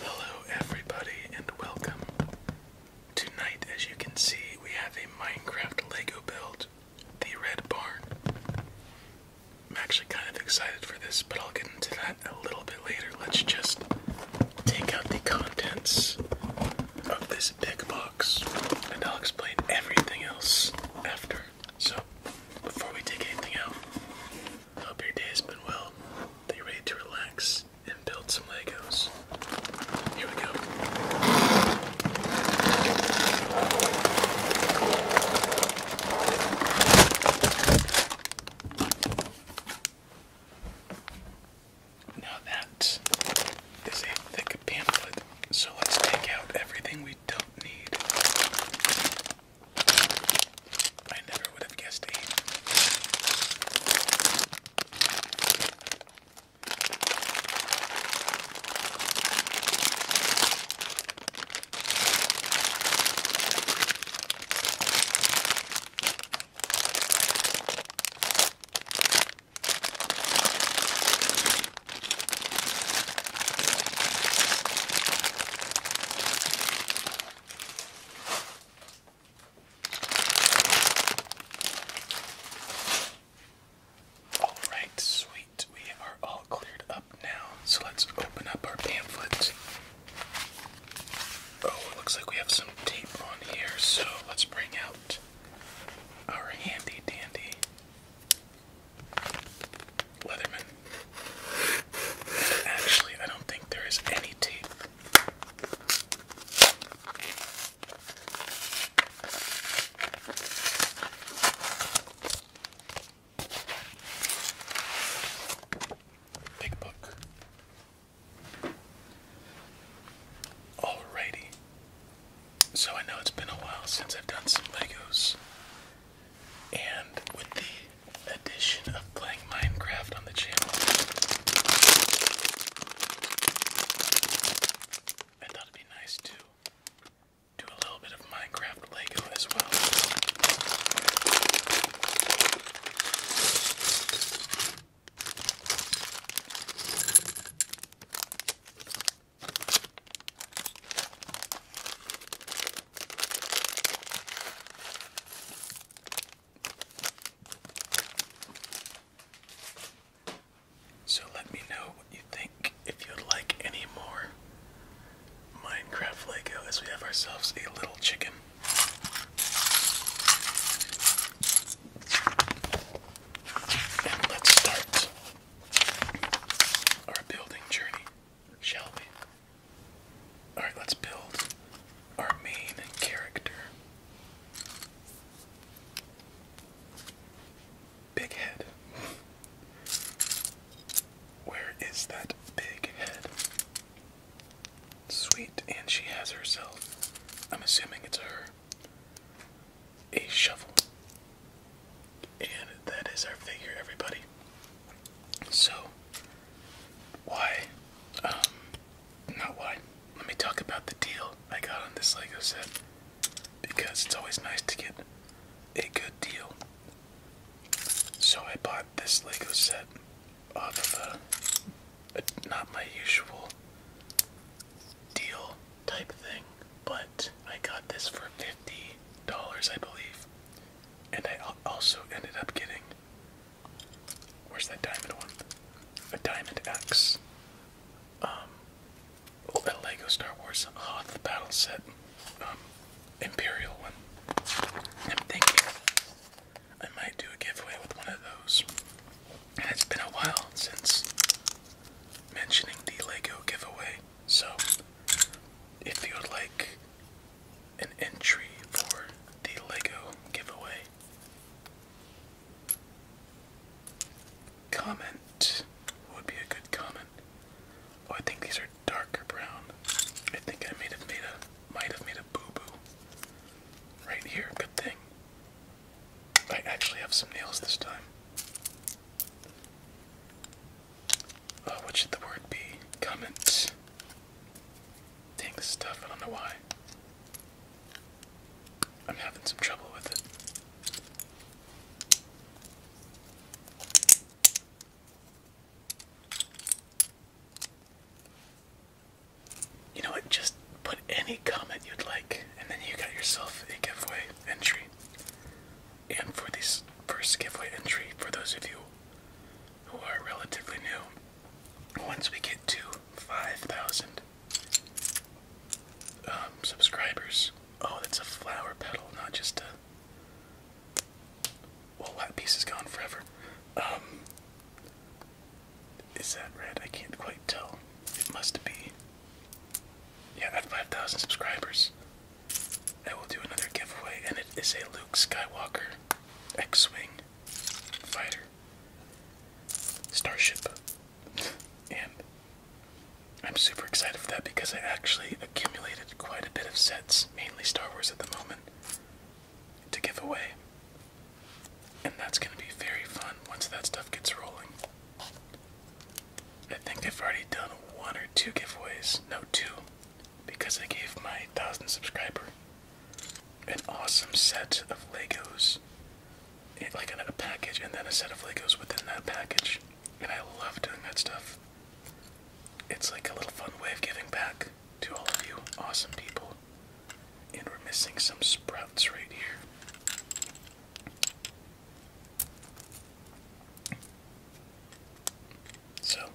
Hello, everybody, and welcome. Tonight, as you can see, we have a Minecraft Lego build, the Red Barn. I'm actually kind of excited for this, but I'll get into that a little bit later. Let's just take out the contents of this big box, and I'll explain everything else after. So, before we take anything out, Hope your day's been well. That you're ready to relax and build some Legos. Here we go. Now that is a thick pamphlet, so let's take out everything we don't need. I never would have guessed eight. All right, sweet. We are all cleared up now, so let's open up our pamphlet. Oh, it looks like we have some tape on here, so let's bring out our handy dandy Leatherman. actually, I don't think there is any tape. Big book. Alrighty. So I know it's been a while since I've done some Legos. And with the addition of playing Minecraft on the channel, I thought it'd be nice to do a little bit of Minecraft Lego as well. So let me know what you think if you'd like any more Minecraft Lego as we have ourselves a little chicken. And let's start our building journey, shall we? Alright, let's build our main character. Big head. Where is that big head? Sweet, and she has herself. I'm assuming it's her. A shovel. And that is our figure, everybody. So, why, um, not why. Let me talk about the deal I got on this Lego set because it's always nice to get a good deal. So I bought this Lego set off of a not my usual deal type thing, but I got this for fifty dollars, I believe, and I also ended up getting Where's that diamond one? A diamond X. Oh, um, that Lego Star Wars Hoth ah, battle set. Um, Imperial one. I'm thinking I might do a giveaway with one of those. And it's been a while since mentioning the Lego giveaway. So, if you would like an entry for the Lego giveaway. Comment would be a good comment. Oh, I think these are darker brown. I think I made have made a might have made a boo boo right here. Good thing. I actually have some nails this time. Oh, what should the word be? Comment. Tank stuff, I don't know why. I'm having some trouble with it. You know what? Just put any comment you'd like, and then you got yourself a giveaway entry. And for this first giveaway entry, for those of you who are relatively new, once we get to 5,000 um, subscribers. Oh, that's a flower petal, not just a. Well, that piece is gone forever. Um, is that red? I can't quite tell. It must be. Yeah, at 5,000 subscribers, I will do another giveaway, and it is a Luke Skywalker X Wing Fighter, Starship, and I'm super excited for that because I actually accumulated quite a bit of sets, mainly Star Wars at the moment, to give away. And that's going to be very fun once that stuff gets rolling. I think I've already done one or two giveaways. No, two because I gave my thousand subscriber an awesome set of Legos, eh, like a package, and then a set of Legos within that package. And I love doing that stuff. It's like a little fun way of giving back to all of you awesome people. And we're missing some sprouts right here. So,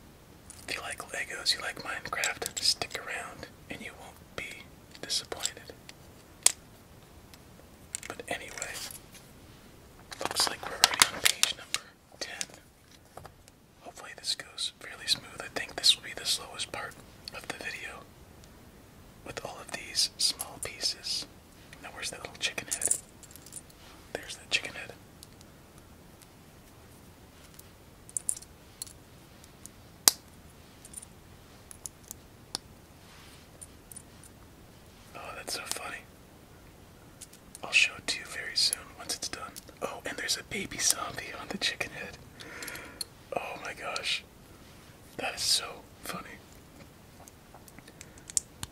if you like Legos, you like Minecraft, stick around and you won't be disappointed. But anyway, looks like we're already on page number 10. Hopefully this goes fairly smooth. I think this will be the slowest part of the video with all of these small pieces. Now where's the little chicken head? There's the chicken head. Oh, that's so funny. I'll show it to you very soon once it's done. Oh, and there's a baby zombie on the chicken head. Oh my gosh. That is so funny.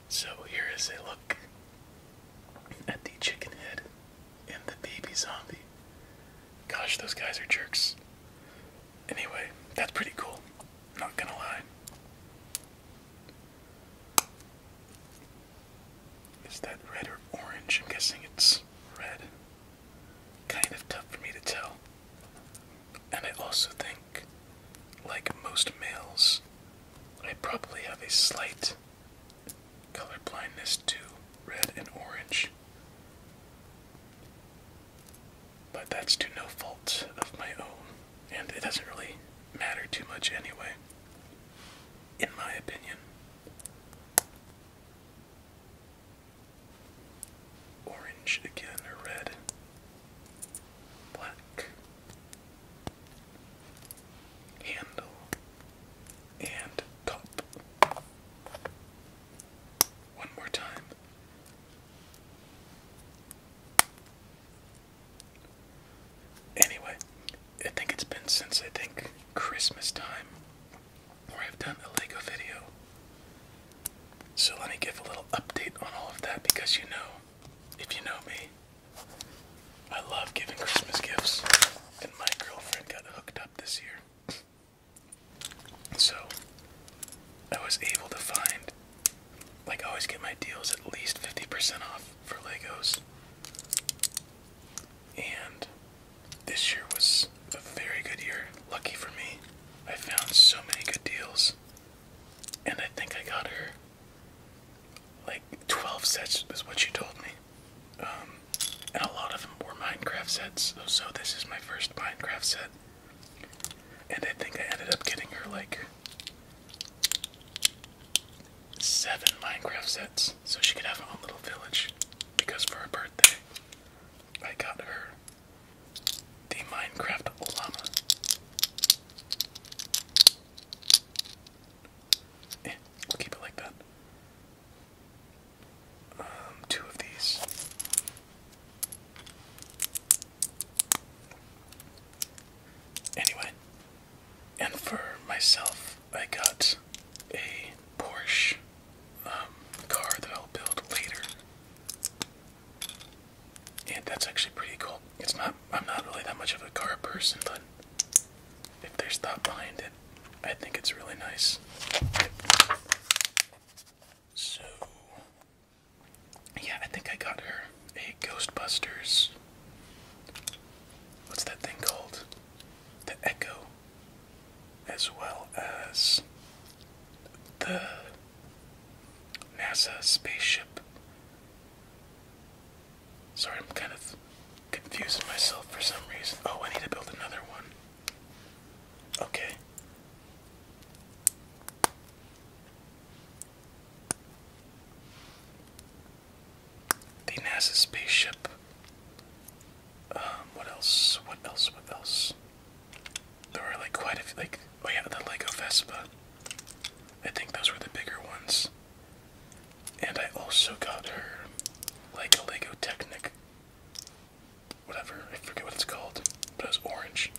So, here is a look at the chicken head and the baby zombie. Gosh, those guys are jerks. Anyway, that's pretty cool. Not gonna lie. Is that red or orange? I'm guessing it's red. Kind of tough for me to tell. And I also think, like most males, I probably have a slight Color blindness to red and orange. But that's to no fault of my own, and it doesn't really matter too much anyway, in my opinion. Orange again, or red. Black. Handle and top. One more time. Anyway, I think it's been since I think Christmas time where I've done a Lego video. So let me give a little update on all of that because you know, if you know me, I love giving Christmas gifts, and my girlfriend got hooked up this year. So I was able to find like I always get my deals at least 50% off for Legos. And this year was a very good year. Lucky for me, I found so many good deals. And I think I got her like 12 sets, is what she told me. Um, and a lot of them were Minecraft sets, so, so this is my first Minecraft set. And I think I ended up getting her like seven Minecraft sets so she could have her own little village because for her birthday I got her the Minecraft llama. Eh, we'll keep it like that. Um, two of these. Anyway, and for myself, I got a Porsche um, car that I'll build later. And that's actually pretty cool. It's not, I'm not really that much of a car person, but if there's thought behind it, I think it's really nice. So, yeah, I think I got her a Ghostbusters. What's that thing called? The Echo. As well as the NASA spaceship. Sorry, I'm kind of confusing myself for some reason. Oh, I need to build another one. Okay. The NASA spaceship. Um, what else? What else? What else? There were like quite a few, like, oh yeah, the Lego Vespa. I think those were the bigger ones. And I also got her like a Lego Technic whatever, I forget what it's called, but it was orange.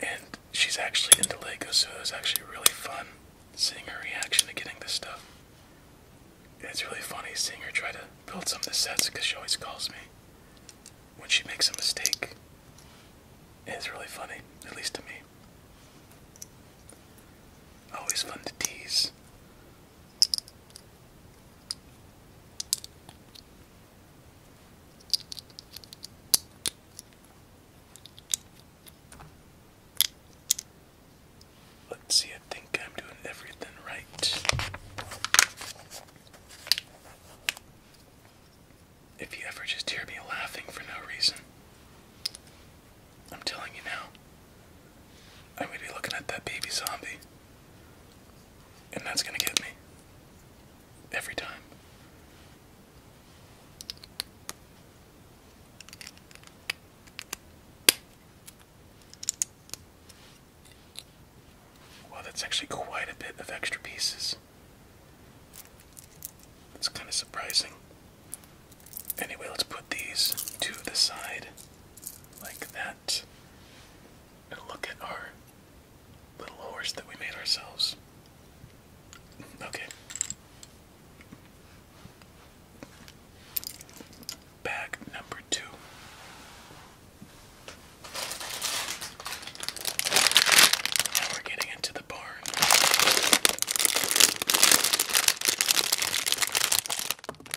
And she's actually into Legos, so it was actually really fun seeing her reaction to getting this stuff. it's really funny seeing her try to build some of the sets because she always calls me when she makes a mistake. it's really funny, at least to me. Always fun to tease. Let's see, I think I'm doing everything right. If you ever just hear me laughing for no reason, I'm telling you now. I'm gonna be looking at that baby zombie. And that's gonna get me. Every time. Wow, that's actually quite a bit of extra pieces. That's kind of surprising. Anyway, let's put these to the side like that and look at our little horse that we made ourselves. Okay. Bag number two. Now we're getting into the barn.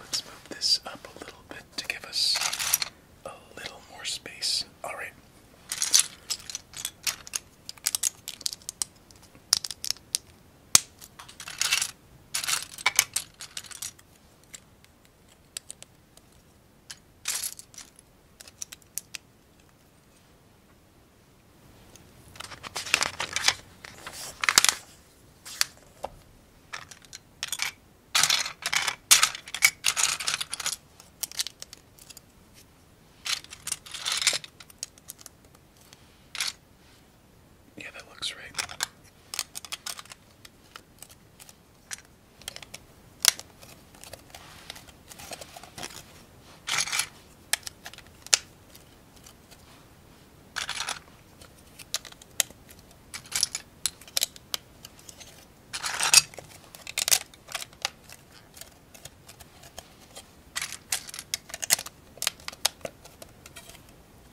Let's move this up a little bit to give us a little more space. Alright. Yeah, that looks right.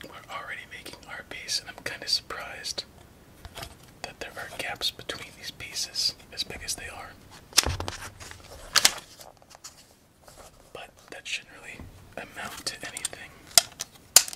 We're already making our piece, and I'm kind of surprised that there are gaps between these pieces as big as they are. But that shouldn't really amount to anything.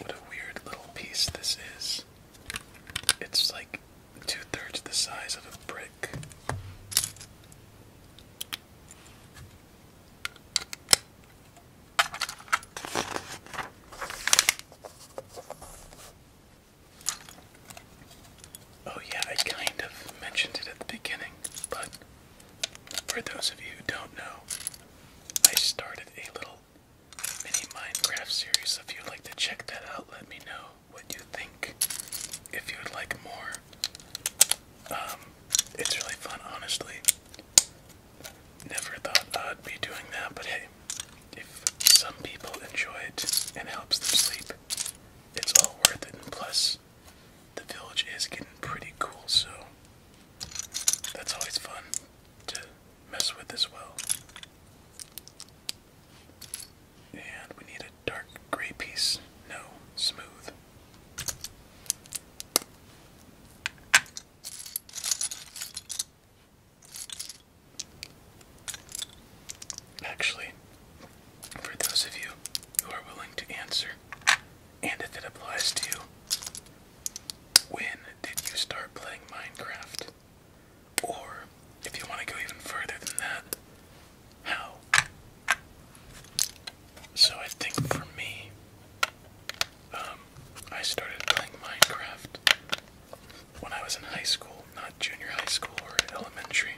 What a weird little piece this is. It's like two thirds the size of a brick. Oh, yeah, I kind of mentioned it at the beginning, but for those of you who don't know, I started a little mini Minecraft series. if you'd like to check that out, let me know what you think. If you would like more, um, it's really fun, honestly. Never thought I'd be doing that, but hey, if some people enjoy it and helps them sleep, it's all worth it. And plus, the village is getting pretty cool, so that's always fun to mess with as well. And we need a dark gray piece. No, smooth. Actually, for those of you who are willing to answer, and if it applies to you, when did you start playing Minecraft? Or, if you want to go even further than that, how? So, I think for me, um, I started playing Minecraft when I was in high school, not junior high school or elementary.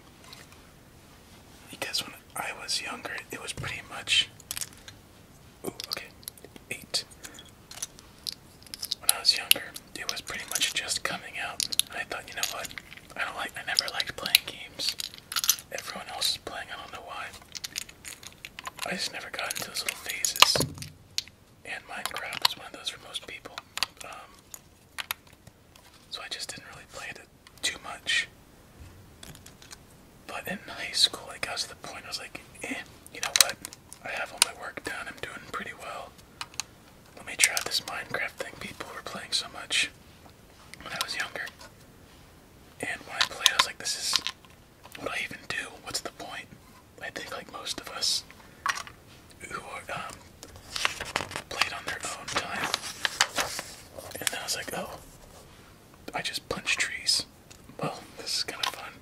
Because when I was younger, it was pretty much. Ooh, okay. Eight. When I was younger, it was pretty much just coming out. I thought, you know what? I don't like. I never liked playing games. Everyone else is playing. I don't know why. I just never got into those little phases. And Minecraft is one of those for most people. Um, so I just didn't really play it too much. But in high school, it got to the point I was like, eh, you know what? I have all my work done, I'm doing pretty well. Let me try this Minecraft thing people were playing so much when I was younger. And when I played, I was like, this is what do I even do? What's the point? I think, like most of us, who um, played on their own time. And then I was like, oh, I just punch trees. Well, this is kind of fun,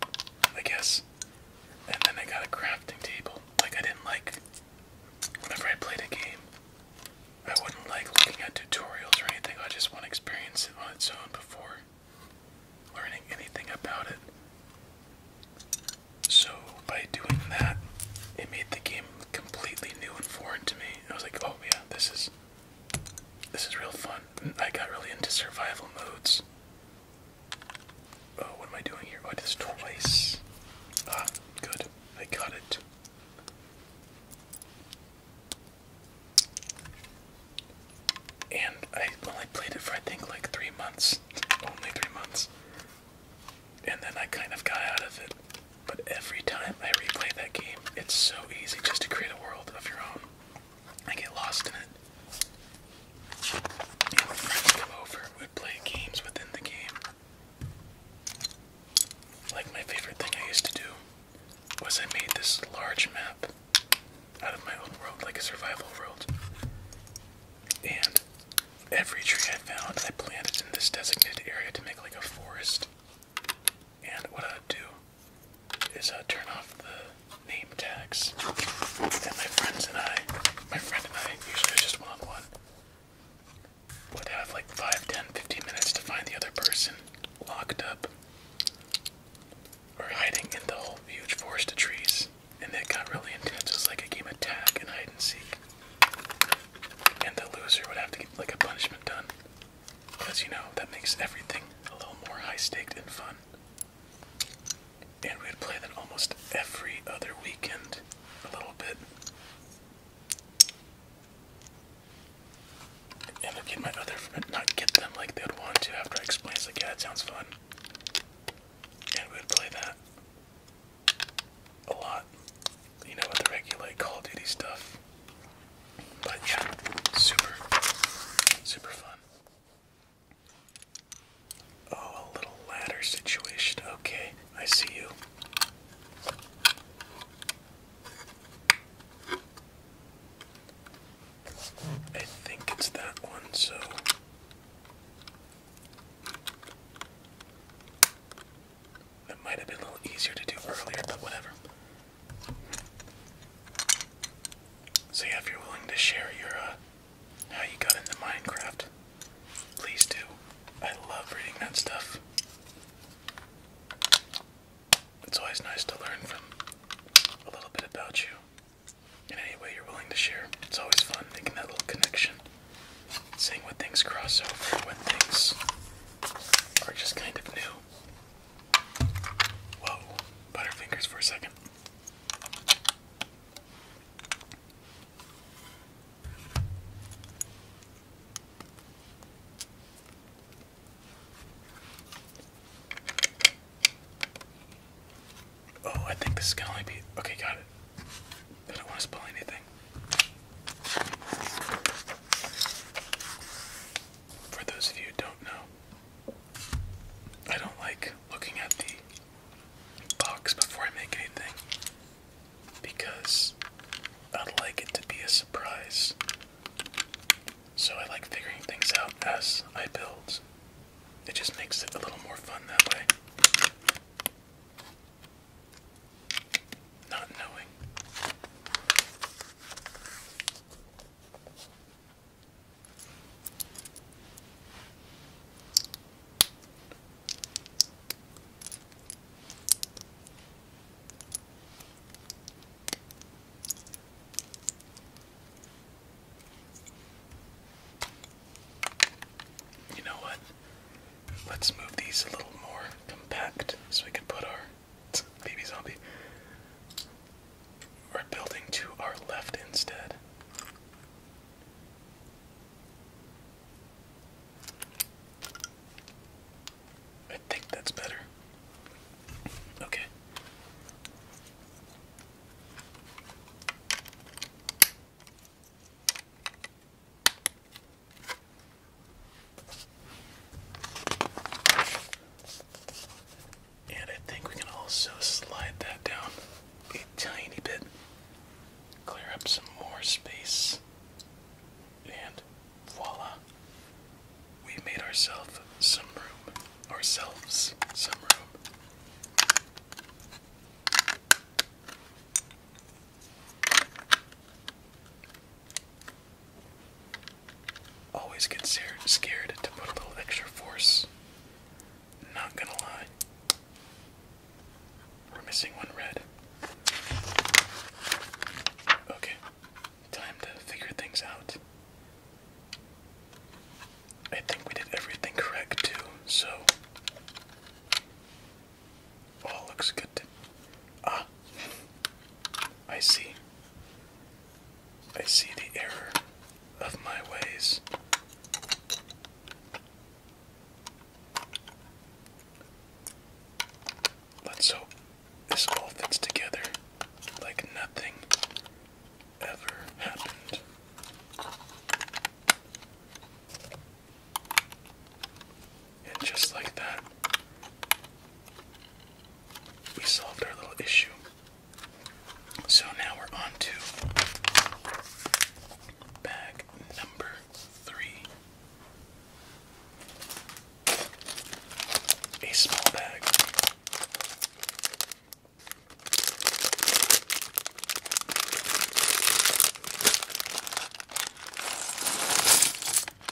I guess. And then I got a crafting table. Like, I didn't like, whenever I played a game, I wouldn't like looking at tutorials or anything. I just want to experience it on its own before learning anything about it. So by doing that, it made the game completely new and foreign to me. I was like, oh yeah, this is this is real fun. I got really into survival modes. Oh, what am I doing here? Oh, I did this twice. Ah, good. I got it. And I only played it for I think like three months. Only three months and then I kind of got out of it. But every time I replay that game, it's so easy just to create a world of your own. I get lost in it. And when friends come over, we play games within the game. Like my favorite thing I used to do was I made this large map out of my own world, like a survival world. And Every tree I found, I planted in this designated area to make like a forest. And what I do is I turn off the name tags. And my friends and I, my friend and I, usually just one on one, would have like five, ten, fifteen minutes to find the other person locked up or hiding in the whole huge forest of trees. And that got really intense. It was like a game of tag and hide and seek. And the loser would have to get like a punishment done. Because you know, that makes everything a little more high staked and fun. And we'd play that almost every other weekend, a little bit. And I'd get my other friend, not get them like they'd want to after I explained, like, yeah, it sounds fun. And we would play that a lot, you know, with the regular Call of Duty stuff. But yeah, super, super fun. Oh, a little ladder situation. Okay, I see you. I think it's that one, so. That might have been a little easier to do earlier, but whatever. So yeah, if you're willing to share your uh, how you got into Minecraft, please do. I love reading that stuff. It's always nice to learn from a little bit about you. In any way you're willing to share, it's always fun making that little connection seeing what things cross over, when things are just kind of new. Whoa, butterfingers for a second. Oh, I think this is only be okay. Got it. I don't want to spoil anything. For those of you who don't know, I don't like looking at the box before I make anything because I'd like it to be a surprise. So I like figuring things out as I build. It just makes it a little more fun that way not knowing. You know what? Let's move these a little more compact so we can put our baby zombie. We're building to our left instead. I think that's better. Okay. And I think we can also slide that down a tiny bit, clear up some more space, and voila. We made ourselves some room. Ourselves some room. Always get scared to put a little extra force. Not gonna lie. We're missing one red. Okay, time to figure things out. I think we did everything correct too, so all oh, looks good. Ah, I see. I see the error of my ways. But so this all fits together like nothing ever happened. And just like that, we solved our little issue. So now we're on to bag number three. A small bag.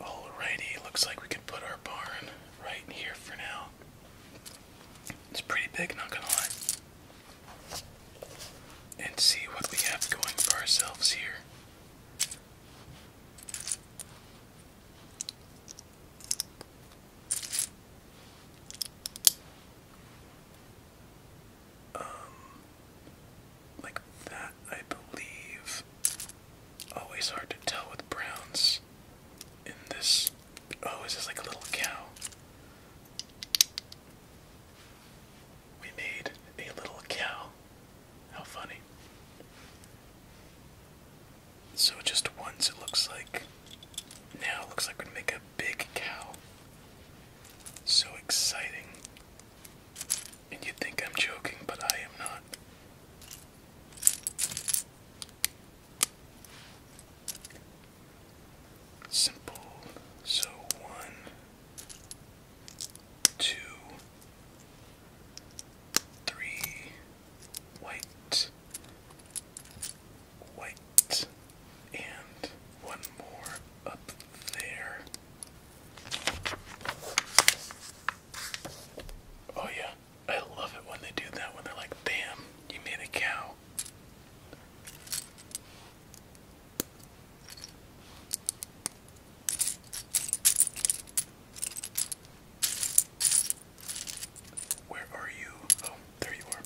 Alrighty, looks like we can put our barn right here for now. It's pretty big, not gonna lie. And see what we have going for ourselves here. Um, like that, I believe. Always hard to tell with browns in this. Oh, is this like a little cow? We made a little cow. How funny. So just once it looks like. Now it looks like we're gonna make a big cow. So exciting. And you think I'm joking, but I am not. Simple. So one, two, three, white, white, and one more up there. Oh yeah, I love it when they do that when they're like, "Damn, you made a cow." Where are you? Oh, there you are.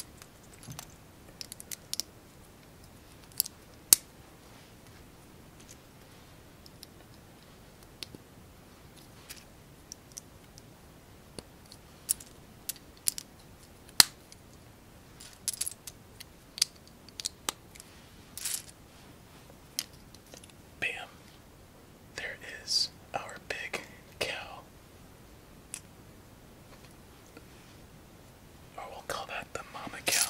Bam. There is our big cow. Or oh, we'll call that the mama cow.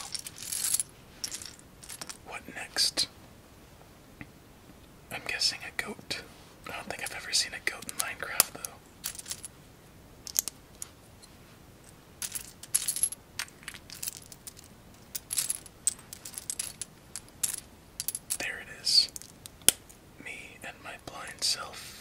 What next? I'm guessing a goat. I don't think I've ever seen a goat in Minecraft though. There it is. Me and my blind self.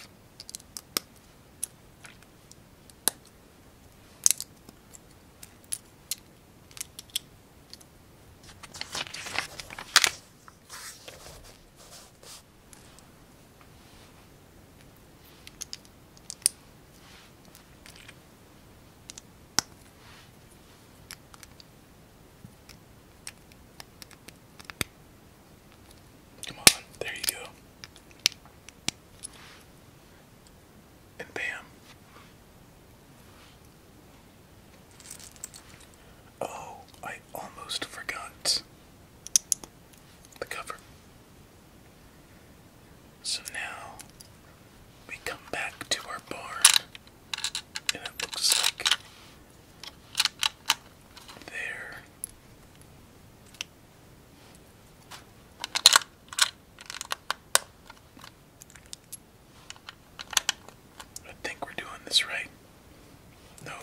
Come on, there you go. And bam. Oh, I almost forgot the cover. So now we come back to our barn, and it looks like there. I think we're doing this right. No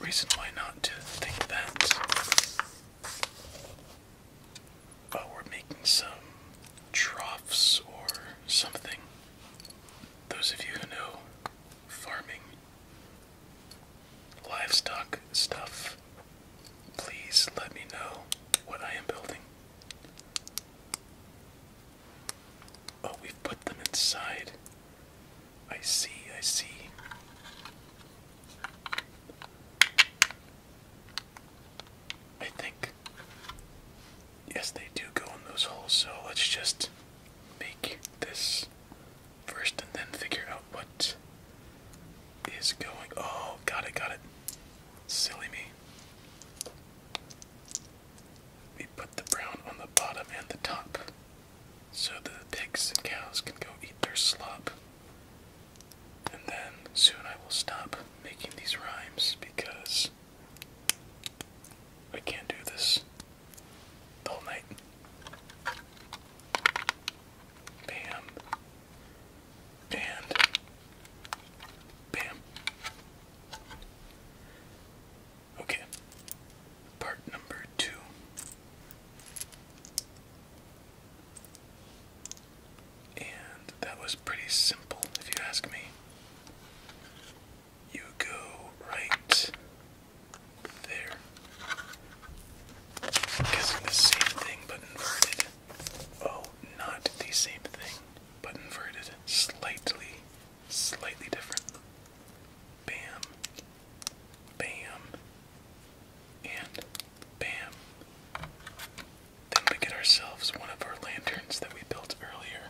reason why not to think that. Oh, we're making some troughs or something. Those of you who know farming, livestock stuff, please let me know what I am building. Oh, we've put them inside. I see, I see. I think. Yes, they do go in those holes, so let's just make this first and then figure out what is going. Oh, got it, got it. Silly me. We put the brown on the bottom and the top so the pigs and cows can go eat their slop. And then soon I will stop making these rhymes because I can't do this the whole night. Bam and bam. Okay, part number two. And that was pretty simple, if you ask me. You go right there. guessing the same thing but inverted. Oh, not the same thing but inverted, slightly, slightly different. Bam, bam, and bam. Then we get ourselves one of our lanterns that we built earlier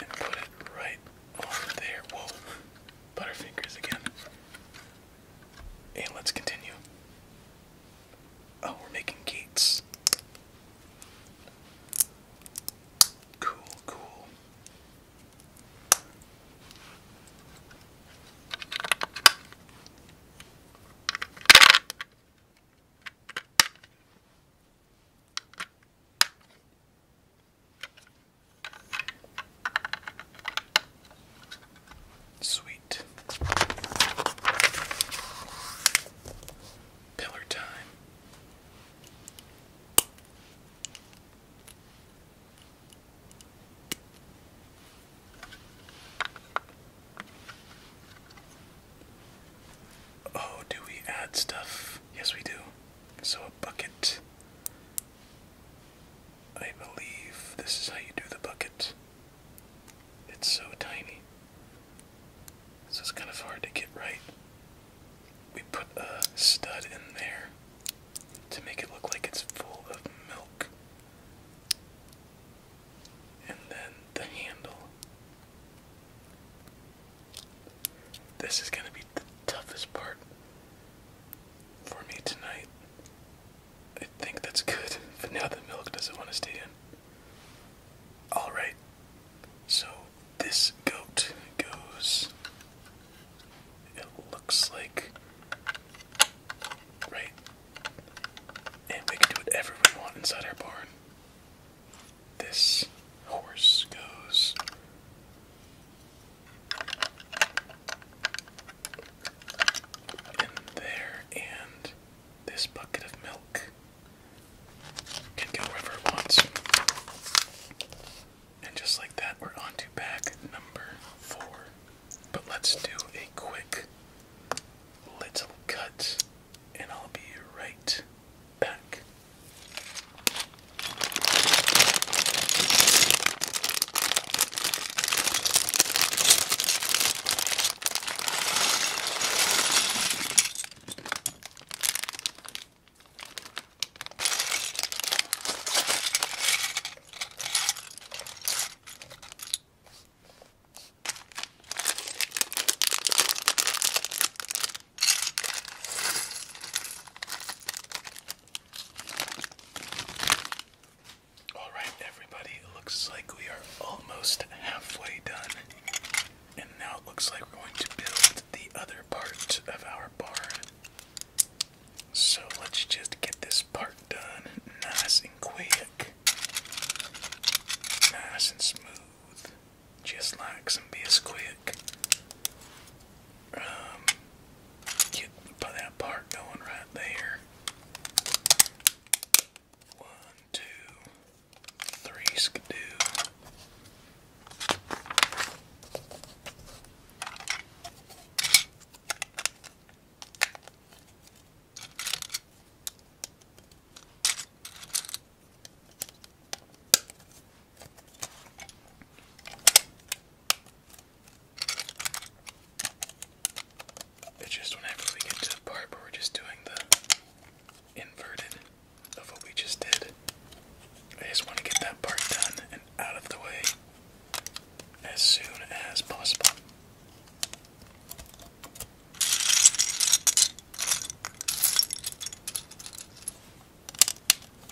and put it right on there. Whoa, butterfingers again. And let's continue. Oh, we're making gates. Cool, cool. Sweet. Pillar time. Oh, do we add stuff? Yes, we do. So, a bucket. I believe this is how you do the bucket. It's so tiny. This is kind of hard to get right. We put a stud in there to make it look like it's full of milk. And then the handle. This is going to be the toughest part for me tonight. I think that's good, but now the milk doesn't want to stay in. Alright, so this goat goes, it looks like, right? And we can do whatever we want inside our barn. This horse goes. In there, and this bucket of milk can go wherever it wants. And just like that, we're on to bag number four. But let's do a quick little cut, and I'll be right back. All right, everybody, it looks like we are almost halfway done. And now it looks like we're going to build the other part of our bar. So let's just get this part done nice and quick. Nice and smooth. Just like some Bisquick. Um, get that part going right there. One, two, three skidoo. It's just whenever we get to the part where we're just doing the inverted of what we just did. I just want to get that part done and out of the way as soon as possible.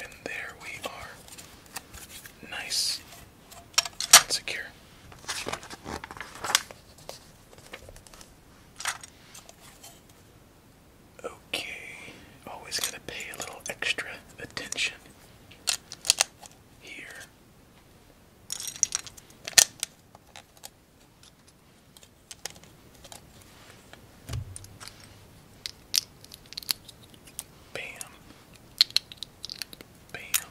And there we are. Nice and secure. Okay, always gotta pay a little extra attention here. Bam. Bam.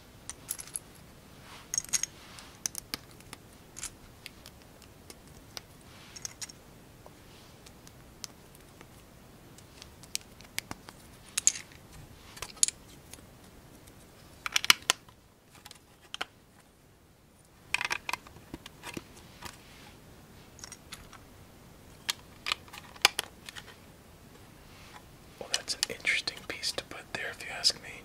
Well, that's an interesting piece to put there, if you ask me.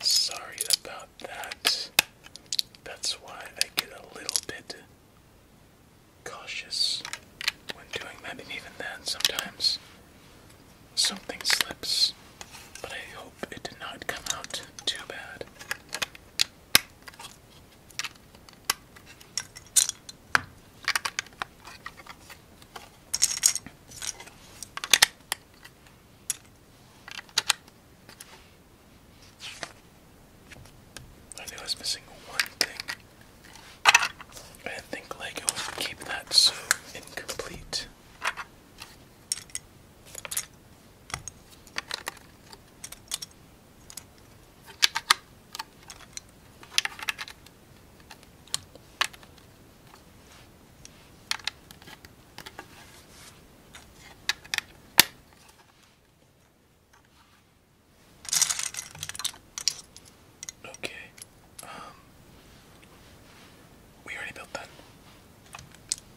Sorry about that. That's why I get a little bit cautious when doing that, and even then, sometimes something slips. But I hope it did not come out too bad. I think I was missing one thing. I think Lego keep that so incomplete. Okay. Um we already built that.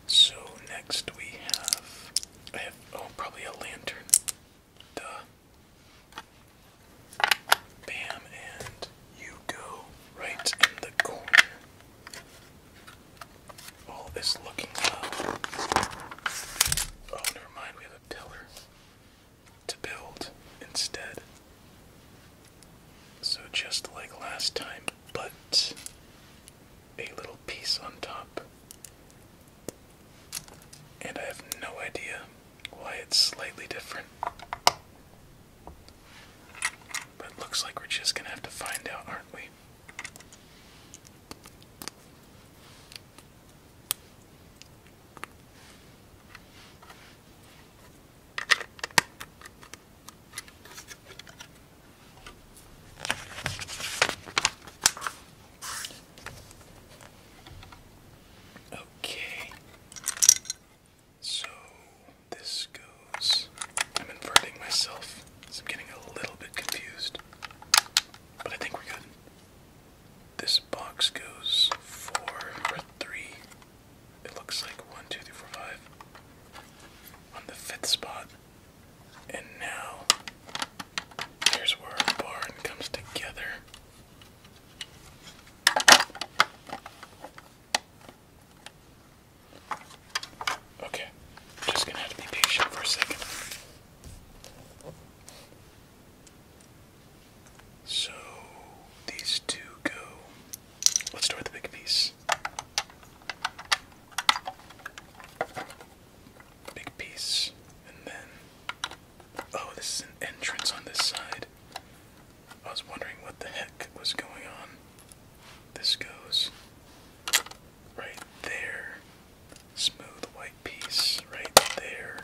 So next we have I have oh probably a lantern. Bam and you go right in the corner. All this looking low. Oh never mind, we have a pillar to build instead. So just like last time, but a little piece on top and I have no idea why it's slightly different. But looks like we're just gonna have to find out, aren't we? Okay. So this goes. I'm inverting myself, I'm getting a little bit confused. But I think we're good. This box goes four three. It looks like one, two, three, four, five. On the fifth spot, and now, here's where our barn comes together. Okay, just gonna have to be patient for a second. So these two go. Let's start with the big piece. Big piece. And then. Oh, this is an entrance on this side. I was wondering what the heck was going on. This goes right there. Smooth white piece right there.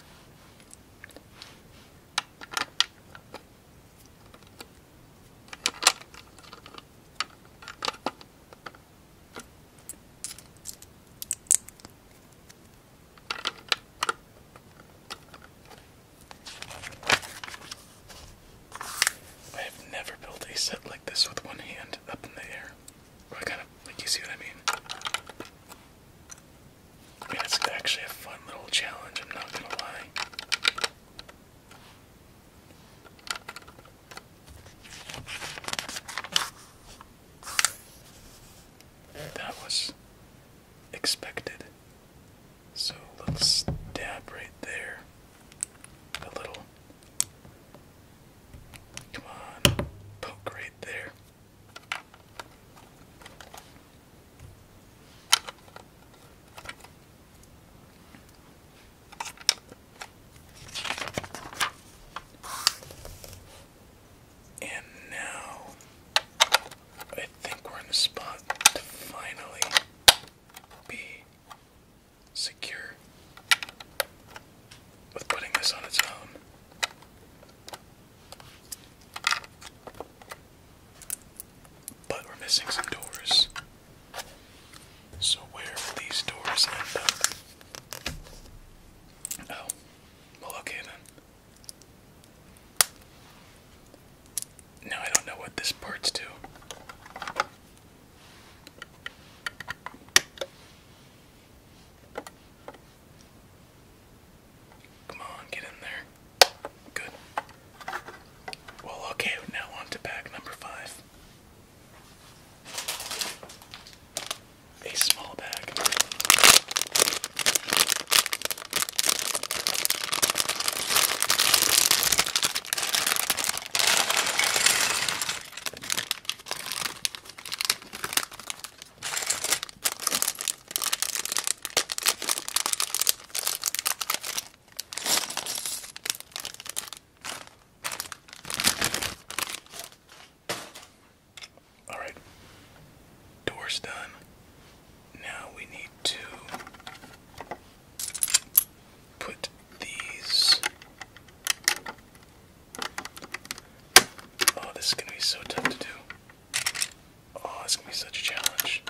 I have never built a set like this with one hand up in the air. I kind of like you see what I mean. I it's actually a fun little challenge. I'm not gonna lie. That was expected. So let's dab right there. A little. Come on, poke right there. And now I think we're in the spot to finally be secure with putting this on its own. But we're missing some doors. So, where will these doors end up? Oh, well, okay then. Now I don't know what this part's to. Come on, get in there. Good. Well, okay, now on to bag number five a small bag. Alright. Door's done. Now we need to put these. Oh, this is going to be so tough to do. Oh, it's going to be such a challenge.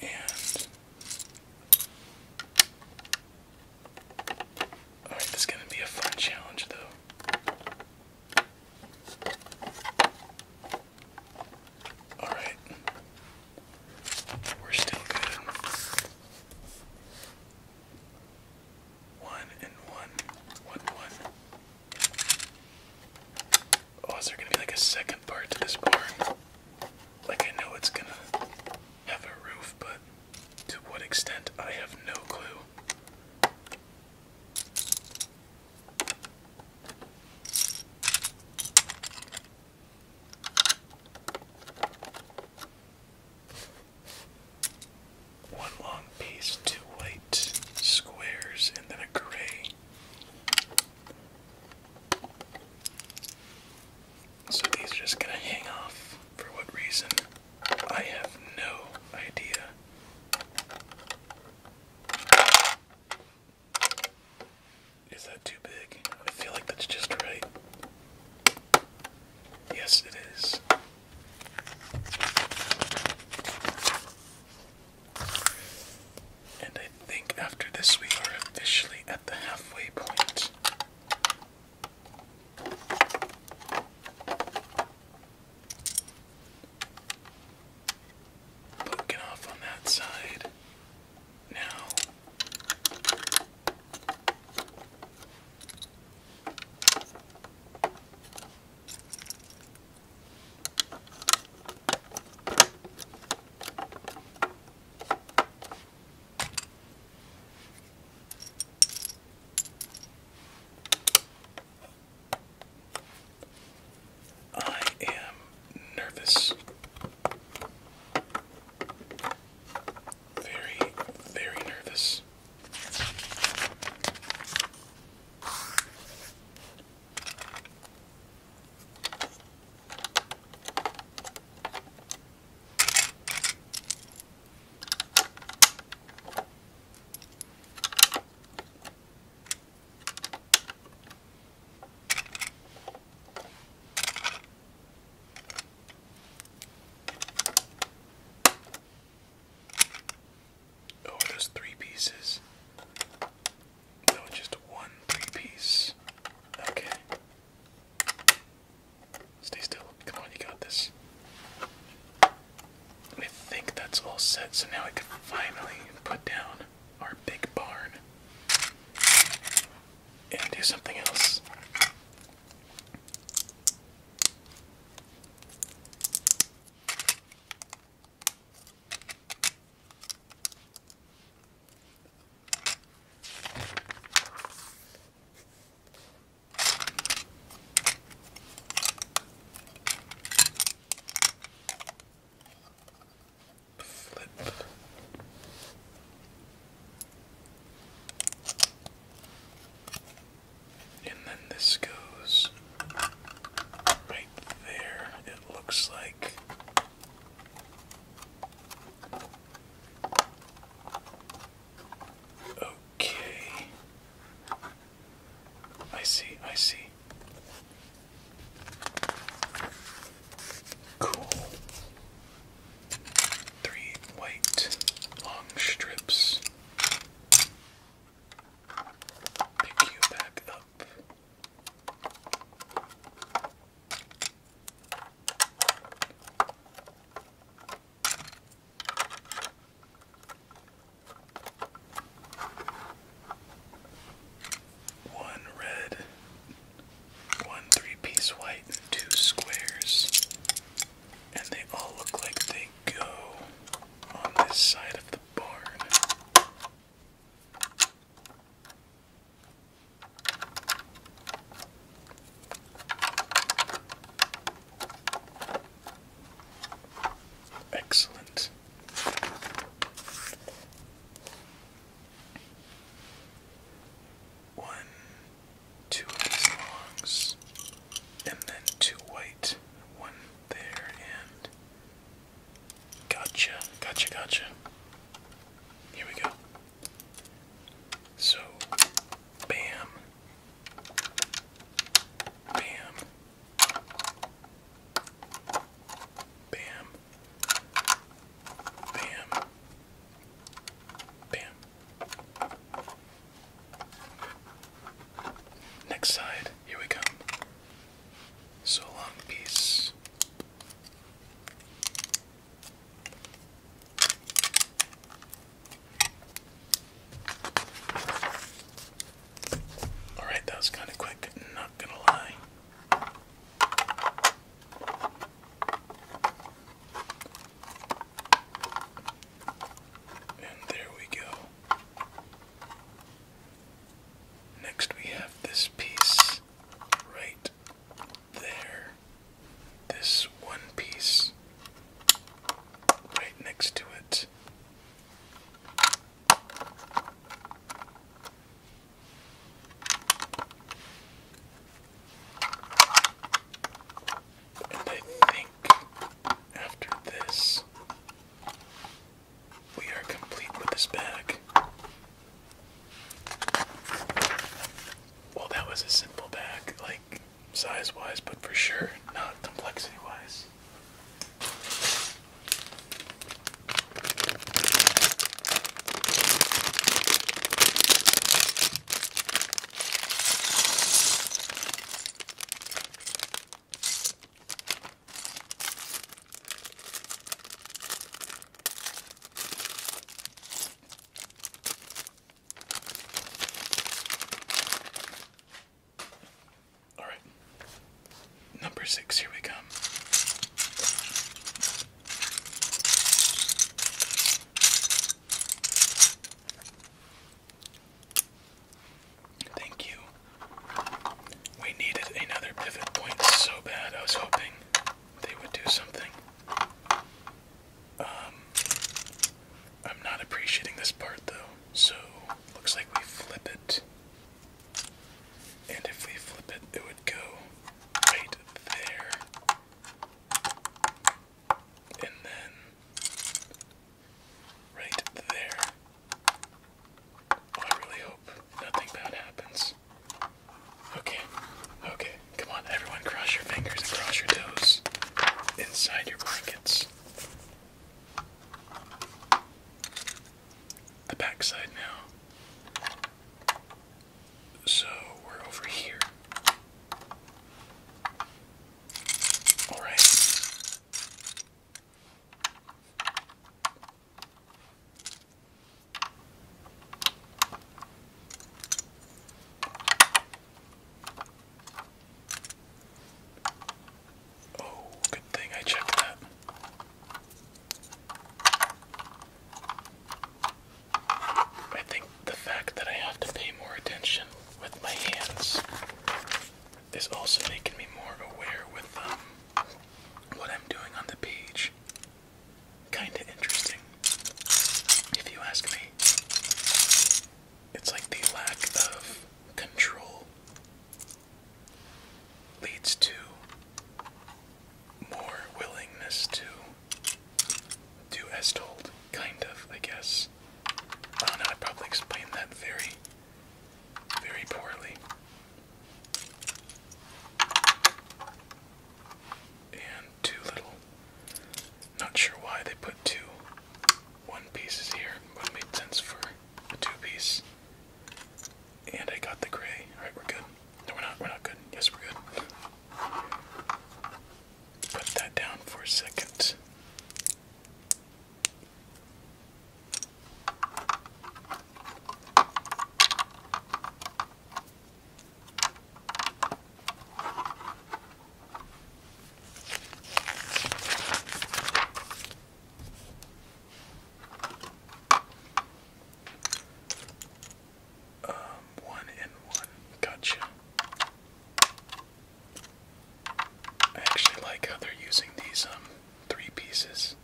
And Alright, this is going to be a fun challenge though. Alright. We're still good. One and one. Oh, is there going to be like a second part to this barn? Like, I know it's gonna have a roof, but to what extent, I have no clue. One long piece, two white squares, and then a gray. So these are just gonna hang off for what reason? I have no idea. Is that too big? I feel like that's just right. Yes, it is. And I think after this, we are officially at the halfway point. Poking off on that side. Now. I am nervous. Very, very nervous. Oh, there's three pieces. No, just one three piece. Okay. Stay still. Come on, you got this. I think that's all set, so now I can finally put down our big barn and do something else. Flip. And then this goes right there. It looks like Okay. I see, I see. Cool. Three white long strips. Pick you back up. One red, one three piece white, two squares. And they all look like they go on this side of the barn. Excellent. One, two of these longs, and then two white, one there, and gotcha, gotcha, gotcha. Here we go. So, bam, bam, bam, bam, bam. Next side, here we come. So long, peace. Alright, that was kind of quick, not gonna lie. And there we go. Next, we have this piece right there. This one piece right next to it. And I think after this, we are complete with this bag. Well, that was a simple bag, like size wise, but for sure not complexity wise. All right. Number six, here we come. Thank you. We needed another pivot point so bad. I was hoping they would do something. Um, I'm not appreciating this part though, so looks like we flip it. And if we flip it, it would go right there. And then right there. I really hope nothing bad happens. Okay, okay. Come on, everyone, cross your fingers and cross your toes inside your blankets. The backside now. So we're over here. Alright. Oh, good thing I checked that. I think the fact that I have to pay more attention with my hands is also making me more aware with um, what I'm doing on the page kinda interesting, if you ask me. It's like the lack of control leads to more willingness to do as told, kind of, I guess. I don't know, I probably explained that very, very poorly. And too little not sure why they put two one pieces here, but it made sense for a two piece. And I got the gray. Alright, we're good. No, we're not. We're not good. Yes, we're good. Put that down for a second. Um, one and one. Gotcha. I actually like how they're using these um three pieces.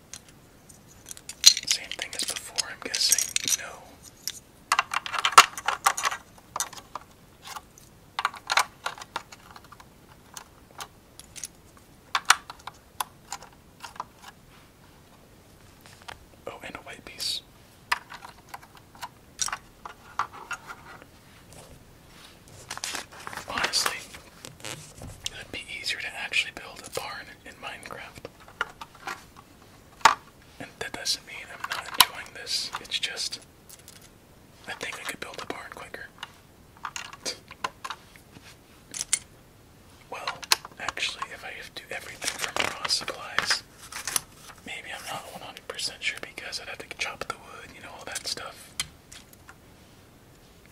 Same thing as before, I'm guessing. No. Oh, and a white piece. Honestly, it'd be easier to actually build a barn in Minecraft. And that doesn't mean I'm not enjoying this. It's just I think I could build a barn quicker. Well, actually, if I have to do everything from raw supplies, maybe I'm not 100% sure because I'd have to chop the wood, you know, all that stuff.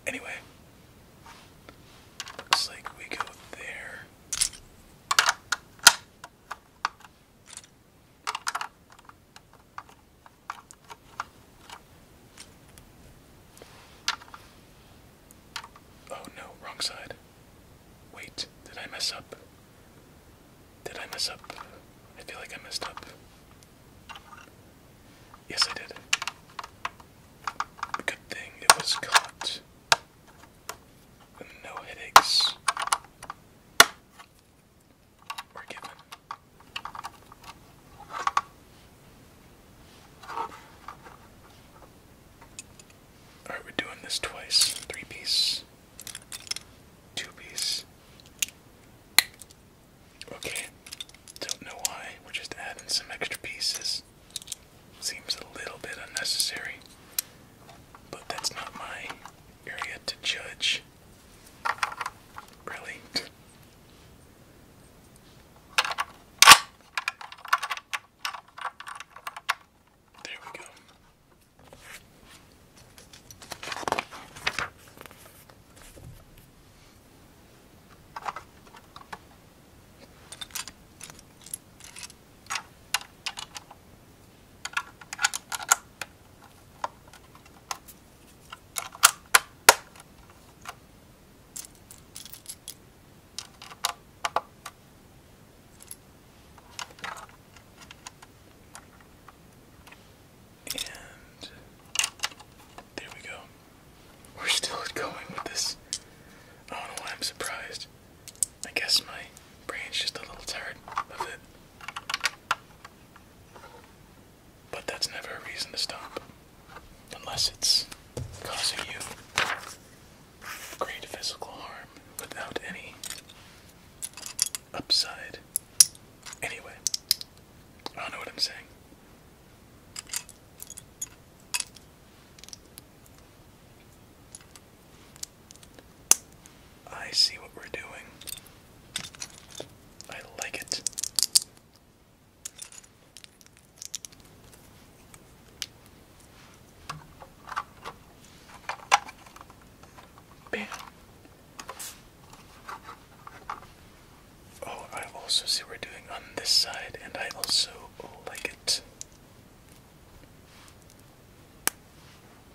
Anyway, looks like we go there. Oh no, wrong side. Wait, did I mess up? Did I mess up? I feel like I messed up. Yes, I did. Good thing it was caught. no headaches. We're Alright, we're doing this twice. Three piece. Two piece. Okay. Don't know why. We're just adding some extra pieces. Seems a little bit unnecessary but that's not my area to judge. Really? There we go. And there we go. We're still going with this. I don't know why I'm surprised. I guess my brain's just a little tired of it. But that's never a reason to stop. Unless it's causing you great physical harm without any upside. Anyway, I don't know what I'm saying. I see what we're doing. I like it. Bam. Oh, I also see we're doing on this side, and I also like it.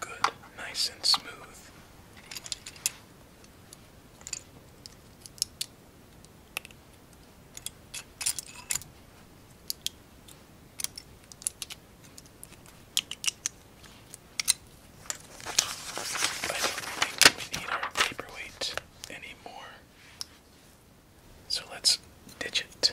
Good, nice and smooth. I don't think we need our paperweight anymore. So let's ditch it.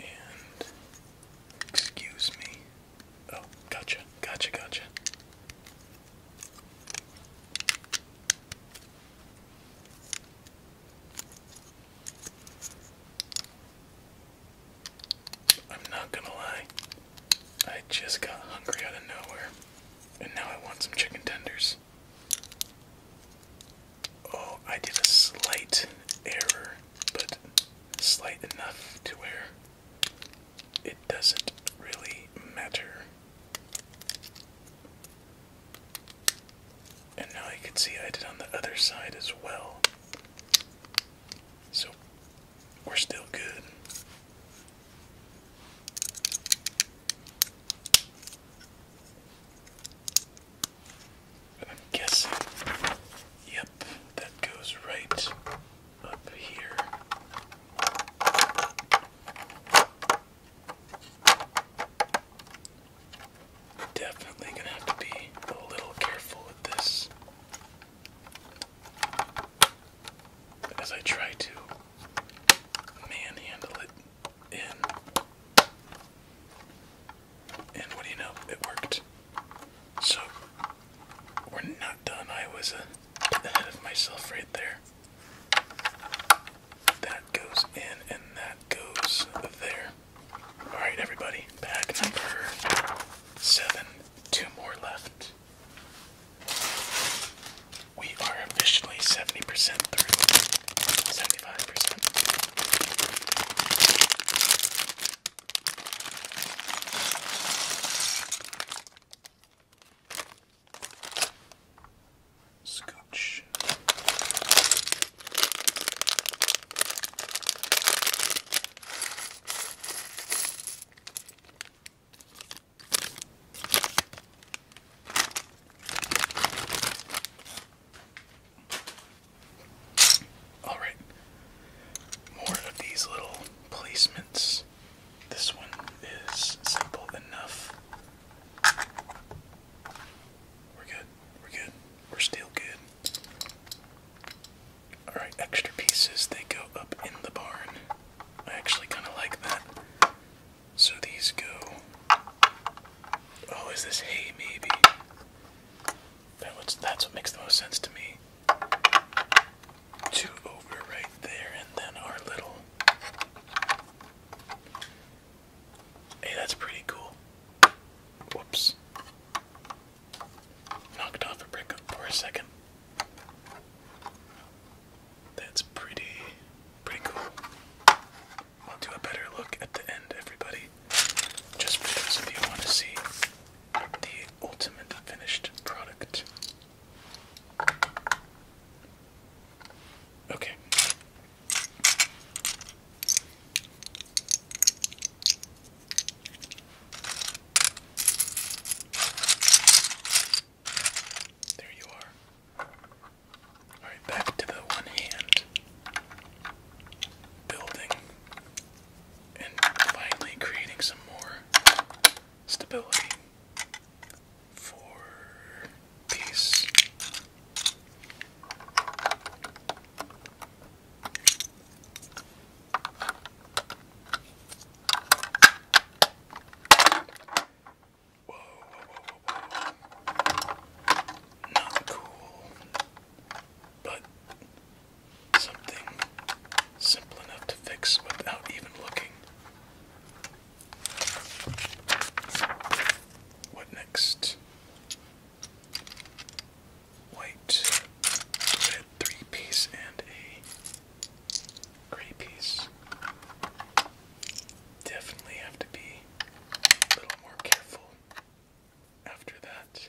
And excuse me. Oh, gotcha, gotcha, gotcha. I'm not gonna lie, I just got hungry out of nowhere, and now I want some chicken tenders. Oh, I did a slight error, but slight enough to where it doesn't really matter. And now you can see I did on the other side as well. So we're still good. I'm guessing. Yep, that goes right up here. Definitely gonna have to be a little careful with this as I try to manhandle it and what do you know? It worked. So we're not done. I was uh, ahead of myself right there. That goes in, and that goes there. All right, everybody. Pack number seven. Two more left. We are officially 70% through. 75%. Scotch. Alright, more of these little placements. This one is simple enough. We're good, we're good, we're still good. Alright, extra pieces, they go up in the barn. I actually kind of like that. So these go Oh, is this hay maybe? That that's what makes the most sense to me. Two over right there, and then our little. Hey, that's pretty cool. Whoops. Knocked off a brick for a second. That's pretty, pretty cool i will do a better look at the end, everybody. Just because if you want to see the ultimate finished product. Okay. There you are. Alright, back to the one hand building and finally creating some more stability for peace. Whoa, Not cool but something simple enough to fix without even looking. What next? White, red three piece, and a gray piece. Definitely have to be a little more careful after that.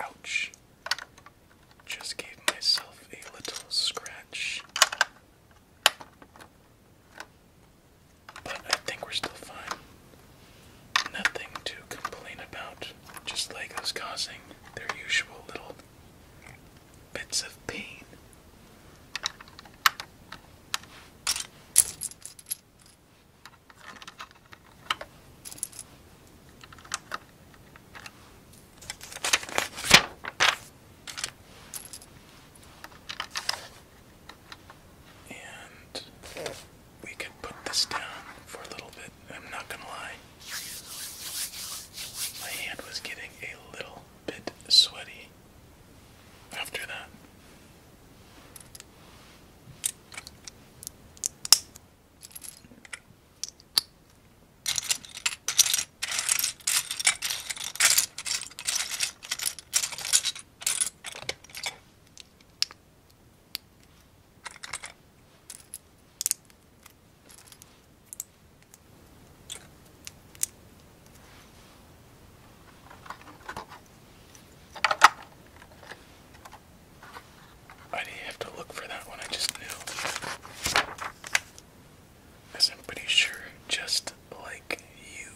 Ouch. Just gave myself a little scratch. But I think we're still fine. Nothing to complain about. Just Legos causing their usual little bits of pain. And we could put this down for a little bit. I'm not gonna lie. My hand was getting a little bit sweaty after that. Why do you have to look for that one? I just knew. I'm pretty sure, just like you.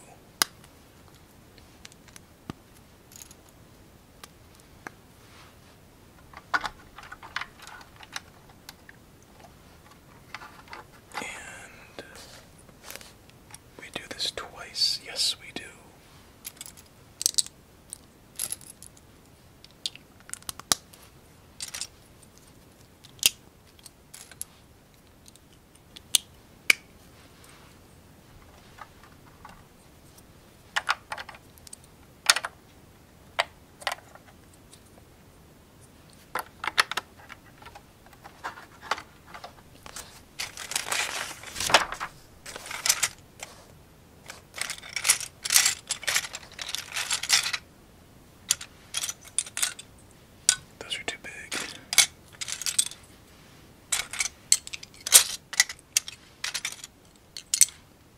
And we do this twice. Yes, we do. Those are too big.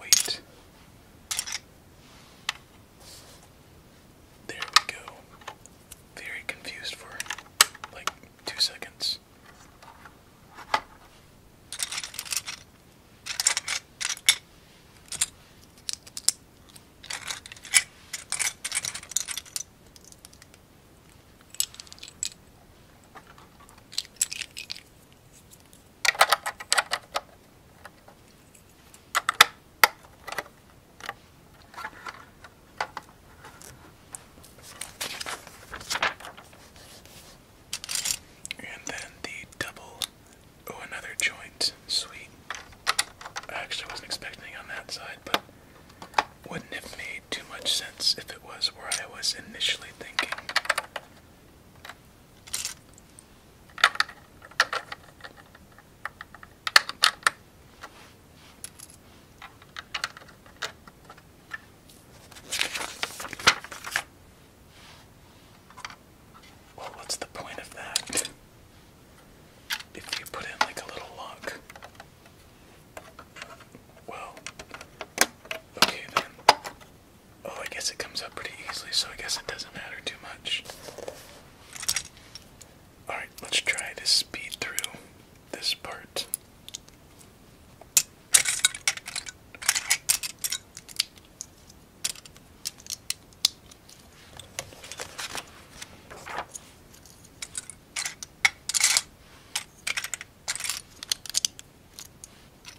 Wait. There we go. Very confused for like two seconds. And then the double, oh, another joint. Sweet. I actually wasn't expecting on that side, but wouldn't have made too much sense if it was where I was initially thinking. Well, what's the point of that? If you put in like a little lock. Well, okay then. Oh, I guess it comes up pretty easily, so I guess it doesn't matter too much. Alright, let's try to speed through this part.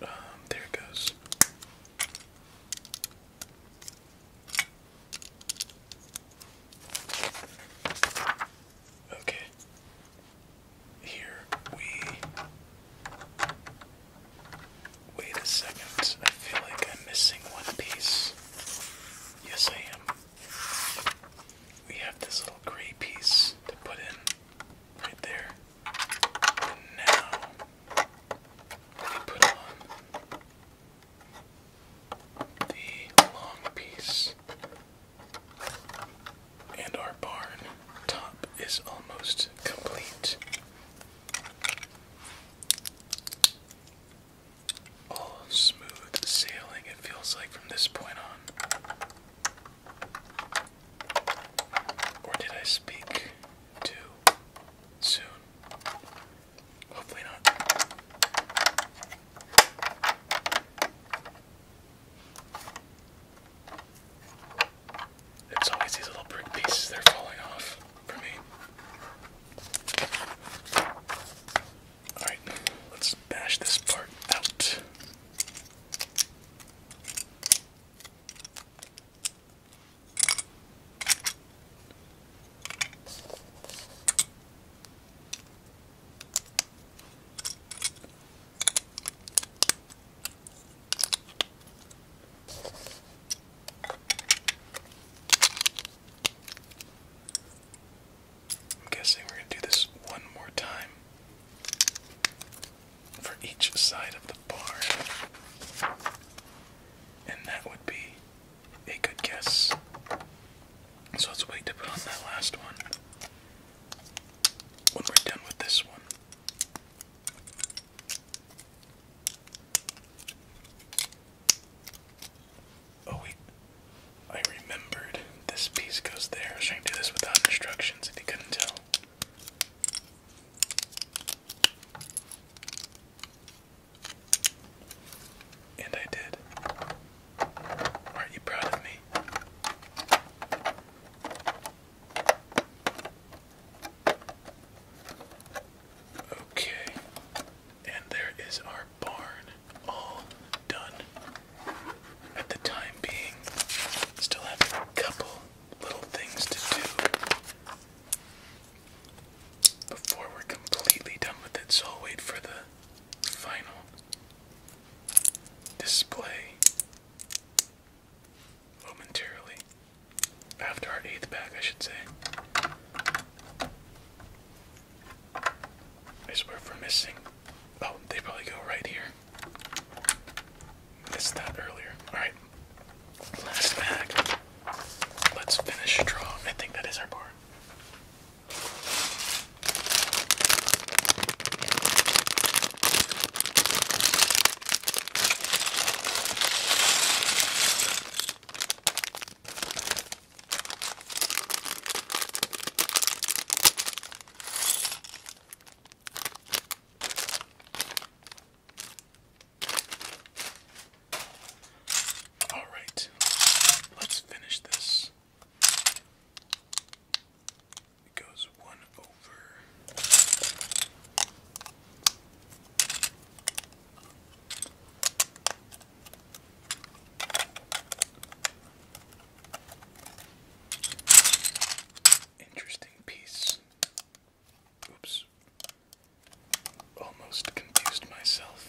Um, there it goes. Okay. Here we. Wait a second. I feel like I'm missing one piece. Yes, I am. We have this little gray piece to put in right there. now, put on the long piece. And our barn top is almost complete. All smooth sailing, it feels like, from this point on. Or did I speak too soon? Hopefully not. It's always these little brick pieces that are falling off for me. Alright, let's bash this part out. I'm guessing we're going to do this one more time for each side of the bar, and that would be a good guess. So let's wait to put on that last one when we're done with this one. Oh wait, I remembered this piece goes there. trying to do this without instructions if you couldn't tell. And I did. Aren't you proud of me? Okay, and there is our barn all done. At the time being, still have a couple little things to do before we're completely done with it, so I'll wait for the final display momentarily after our eighth pack, I should say. I swear if we're missing. Oh, they probably go right here. Missed that earlier. Alright. Last pack. Let's finish strong. I think that is our board. All right, let's finish this. It goes one over. Interesting piece. Oops. Almost confused myself.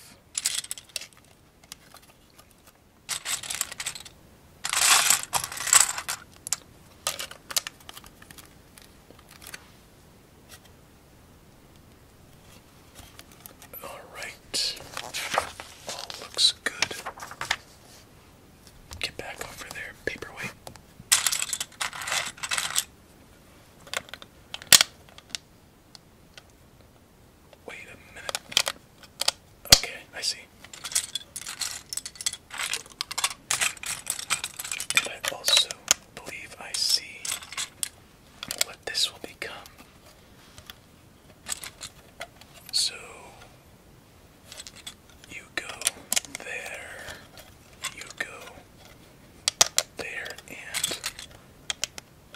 All right. All looks good. Get back over there, paperweight. Wait a minute. Okay, I see. And I also believe I see what this will become. So you go there, you go there, and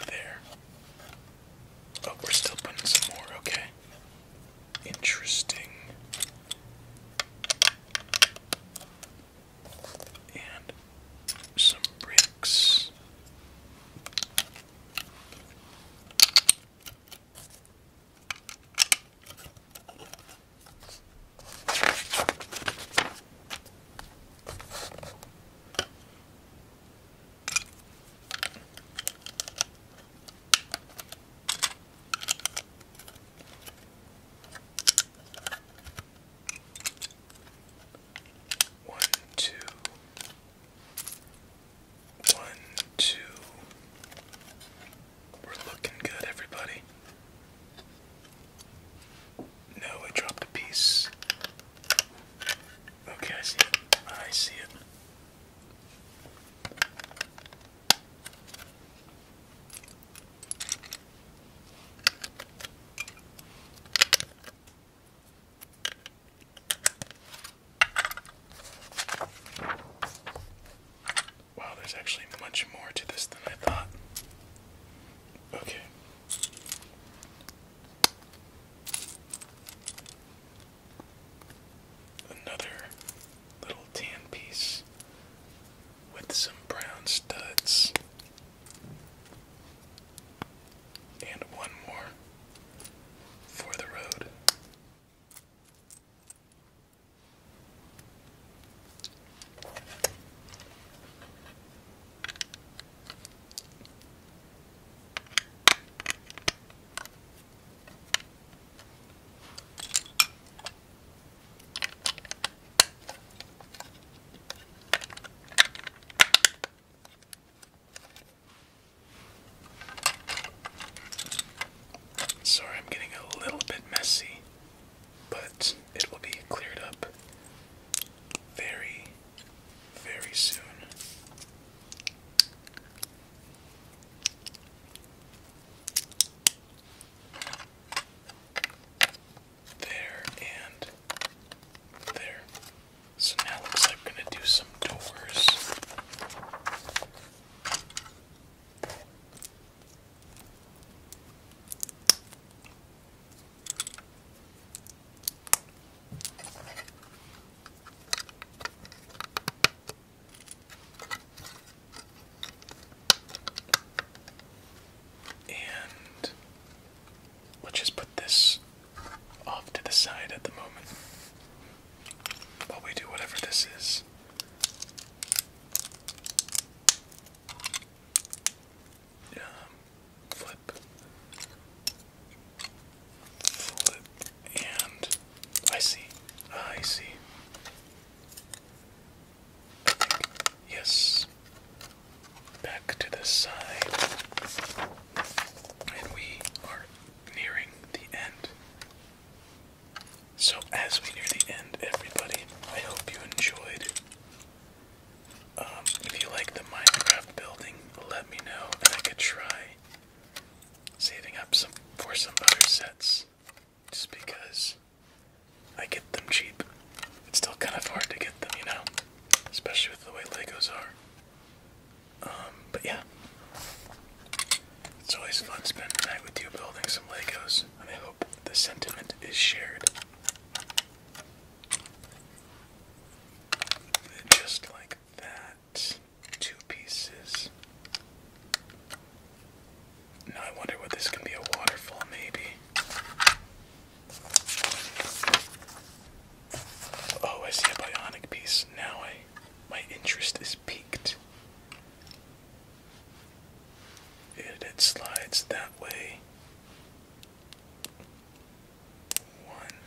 there. Oh, we're still putting some more, okay. Interesting. And some bricks. One, two, one, two. We're looking good, everybody. No, I dropped a piece. Okay, I see it. I see it. Wow, there's actually much more to this than I thought. Okay. Another little tan piece with some brown studs. And one more for the road. Sorry, I'm getting a little bit messy, but it will be cleared up very very soon. There and there. So now I'm gonna do some doors. And let's just put this off to the side at the moment while we do whatever this is. Um, flip. Fold and I see, I see. yes. Back to the side, and we are nearing the end. So, as we near the end, everybody, I hope you enjoyed. Um, if you like the Minecraft building, let me know, and I could try saving up for some other sets just because I get them cheap. It's still kind of hard to get them, you know, especially with the way Legos are. Um, but yeah, it's always fun spending the night with you building some Legos, and I hope the sentiment is shared. Just like that two pieces. Now I wonder what this can be a waterfall, maybe. Oh, I see a bionic piece. Now I my interest is piqued. It, it slides that way. One,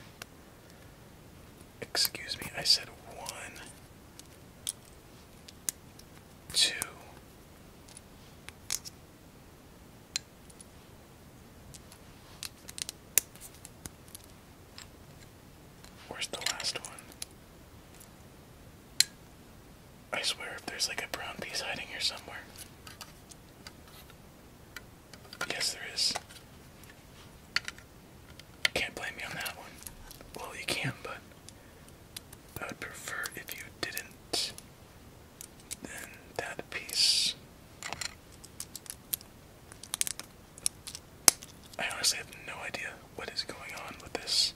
Excuse me, I said one, two, Where's the last one? I swear, if there's like a brown piece hiding here somewhere. Yes, there is. Can't blame me on that one. Well, you can, but I would prefer if you didn't. Then that piece. I honestly have no idea what is going on with this.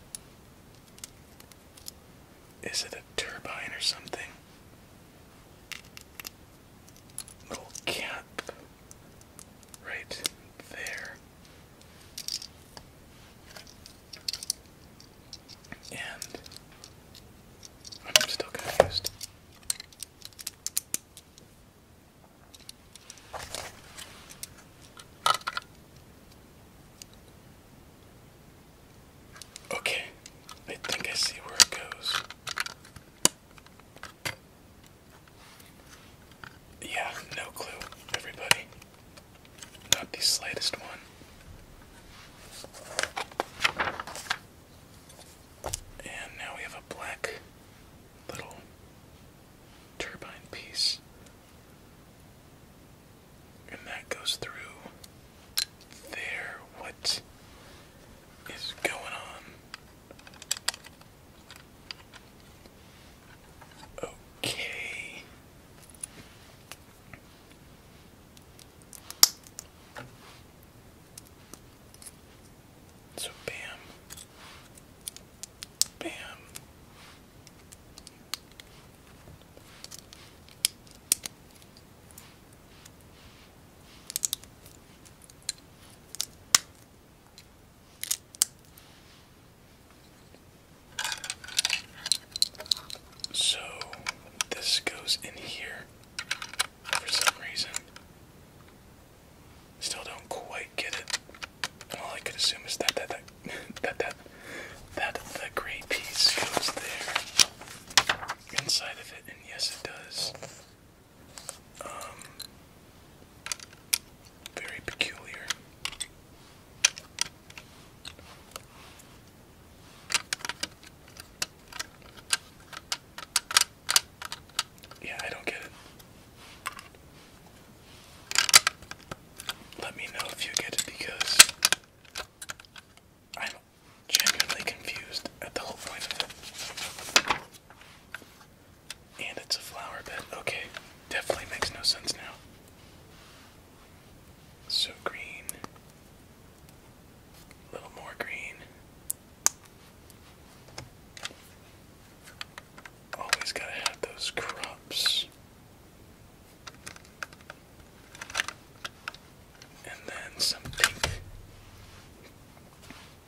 Is it a turbine or something? Little cap right there. And I'm still confused. Okay, I think I see where it goes. Yeah, no clue, everybody. Not the slightest one. And now we have a black little turbine piece. And that goes through there. What is going on? Okay. So bam, bam. So this goes in here for some reason. Still don't quite get it. And all I could assume is that that that that that that the gray piece goes there inside of it, and yes, it does. Um, very peculiar. Yeah, I don't get it. Let me know if you get it because I'm genuinely confused at the whole point of it. And it's a flower bed. Okay, definitely makes no sense now. So green. A little more green. Always gotta have those crops. And then some pink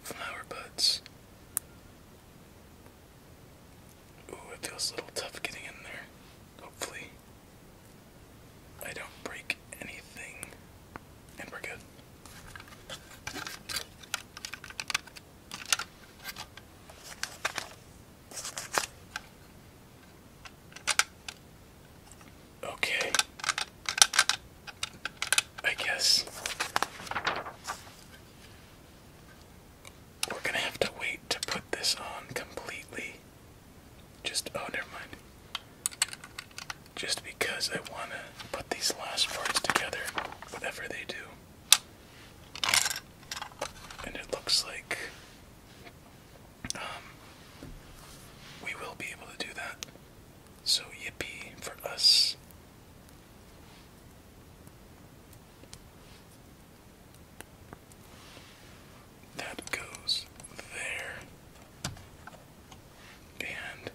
flower buds. Ooh, it feels a little tough getting in there. Hopefully, I don't break anything. And we're good. Okay. I guess we're gonna have to wait to put this on completely. Just, oh, never mind. Just because I wanna put these last parts together, whatever they do. And it looks like um, we will be able to do that. So, yippee for us. That goes there. And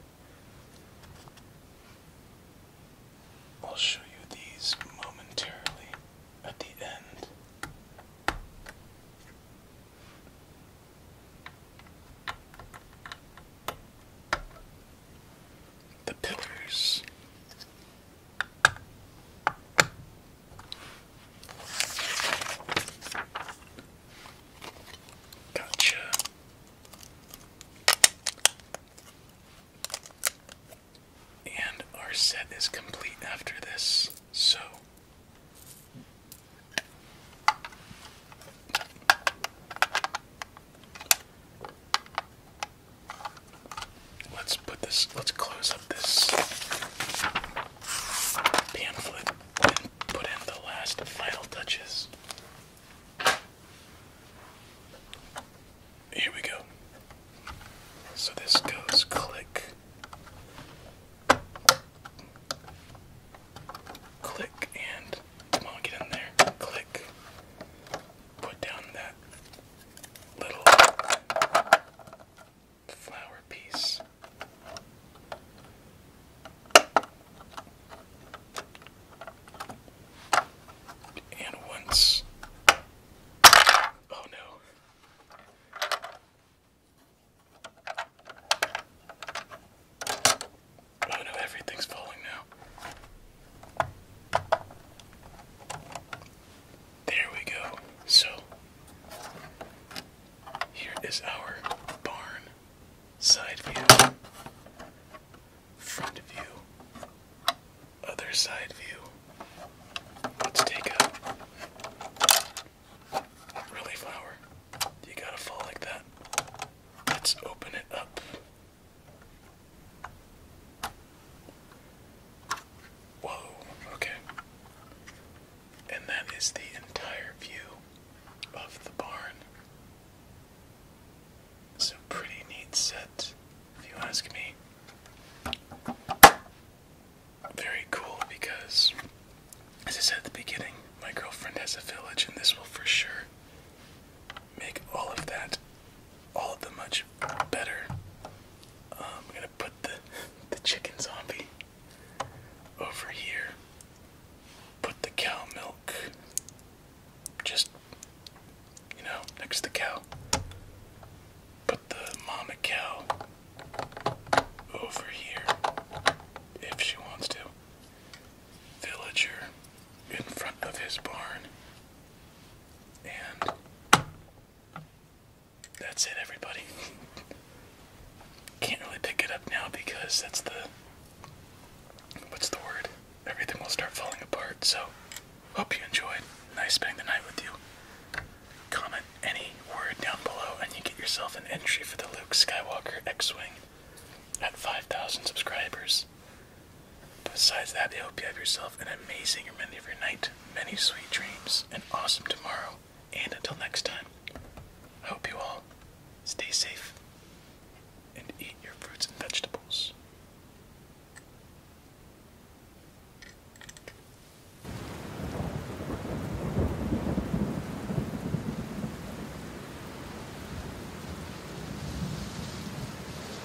I'll show you these momentarily at the end the pillars. Gotcha. And our set is complete after this, so Let's put this, let's close up this pamphlet and put in the last final touches. Here we go. So this goes click, click, and come on, get in there. Click, put down that little flower piece. And once. Oh no. Oh no, everything's falling now. There we go. So, here is our barn side view, front view, other side view. Let's take a really flower. You gotta fall like that. Let's open it up Whoa, okay. And that is the entire view of the barn. So, pretty neat set, if you ask me. Very cool because, as I said at the beginning, my girlfriend has a village, and this will for sure make all of that all of the much better. Um, I'm gonna put the the chicken zombie over here. Put the cow milk just you know next to the cow. Put the mama cow over here if she wants to. Villager in front of his barn. And that's it, everybody. Can't really pick it up now because that's the. What's the word? Everything will start falling apart. So, hope you enjoyed. Nice spending the night with you. Comment any word down below, and you get yourself an entry for the Luke Skywalker X Wing at 5,000 subscribers. Besides that, I hope you have yourself an amazing remainder of your night, many sweet dreams, and awesome tomorrow, and until next time, I hope you all stay safe and eat your fruits and vegetables.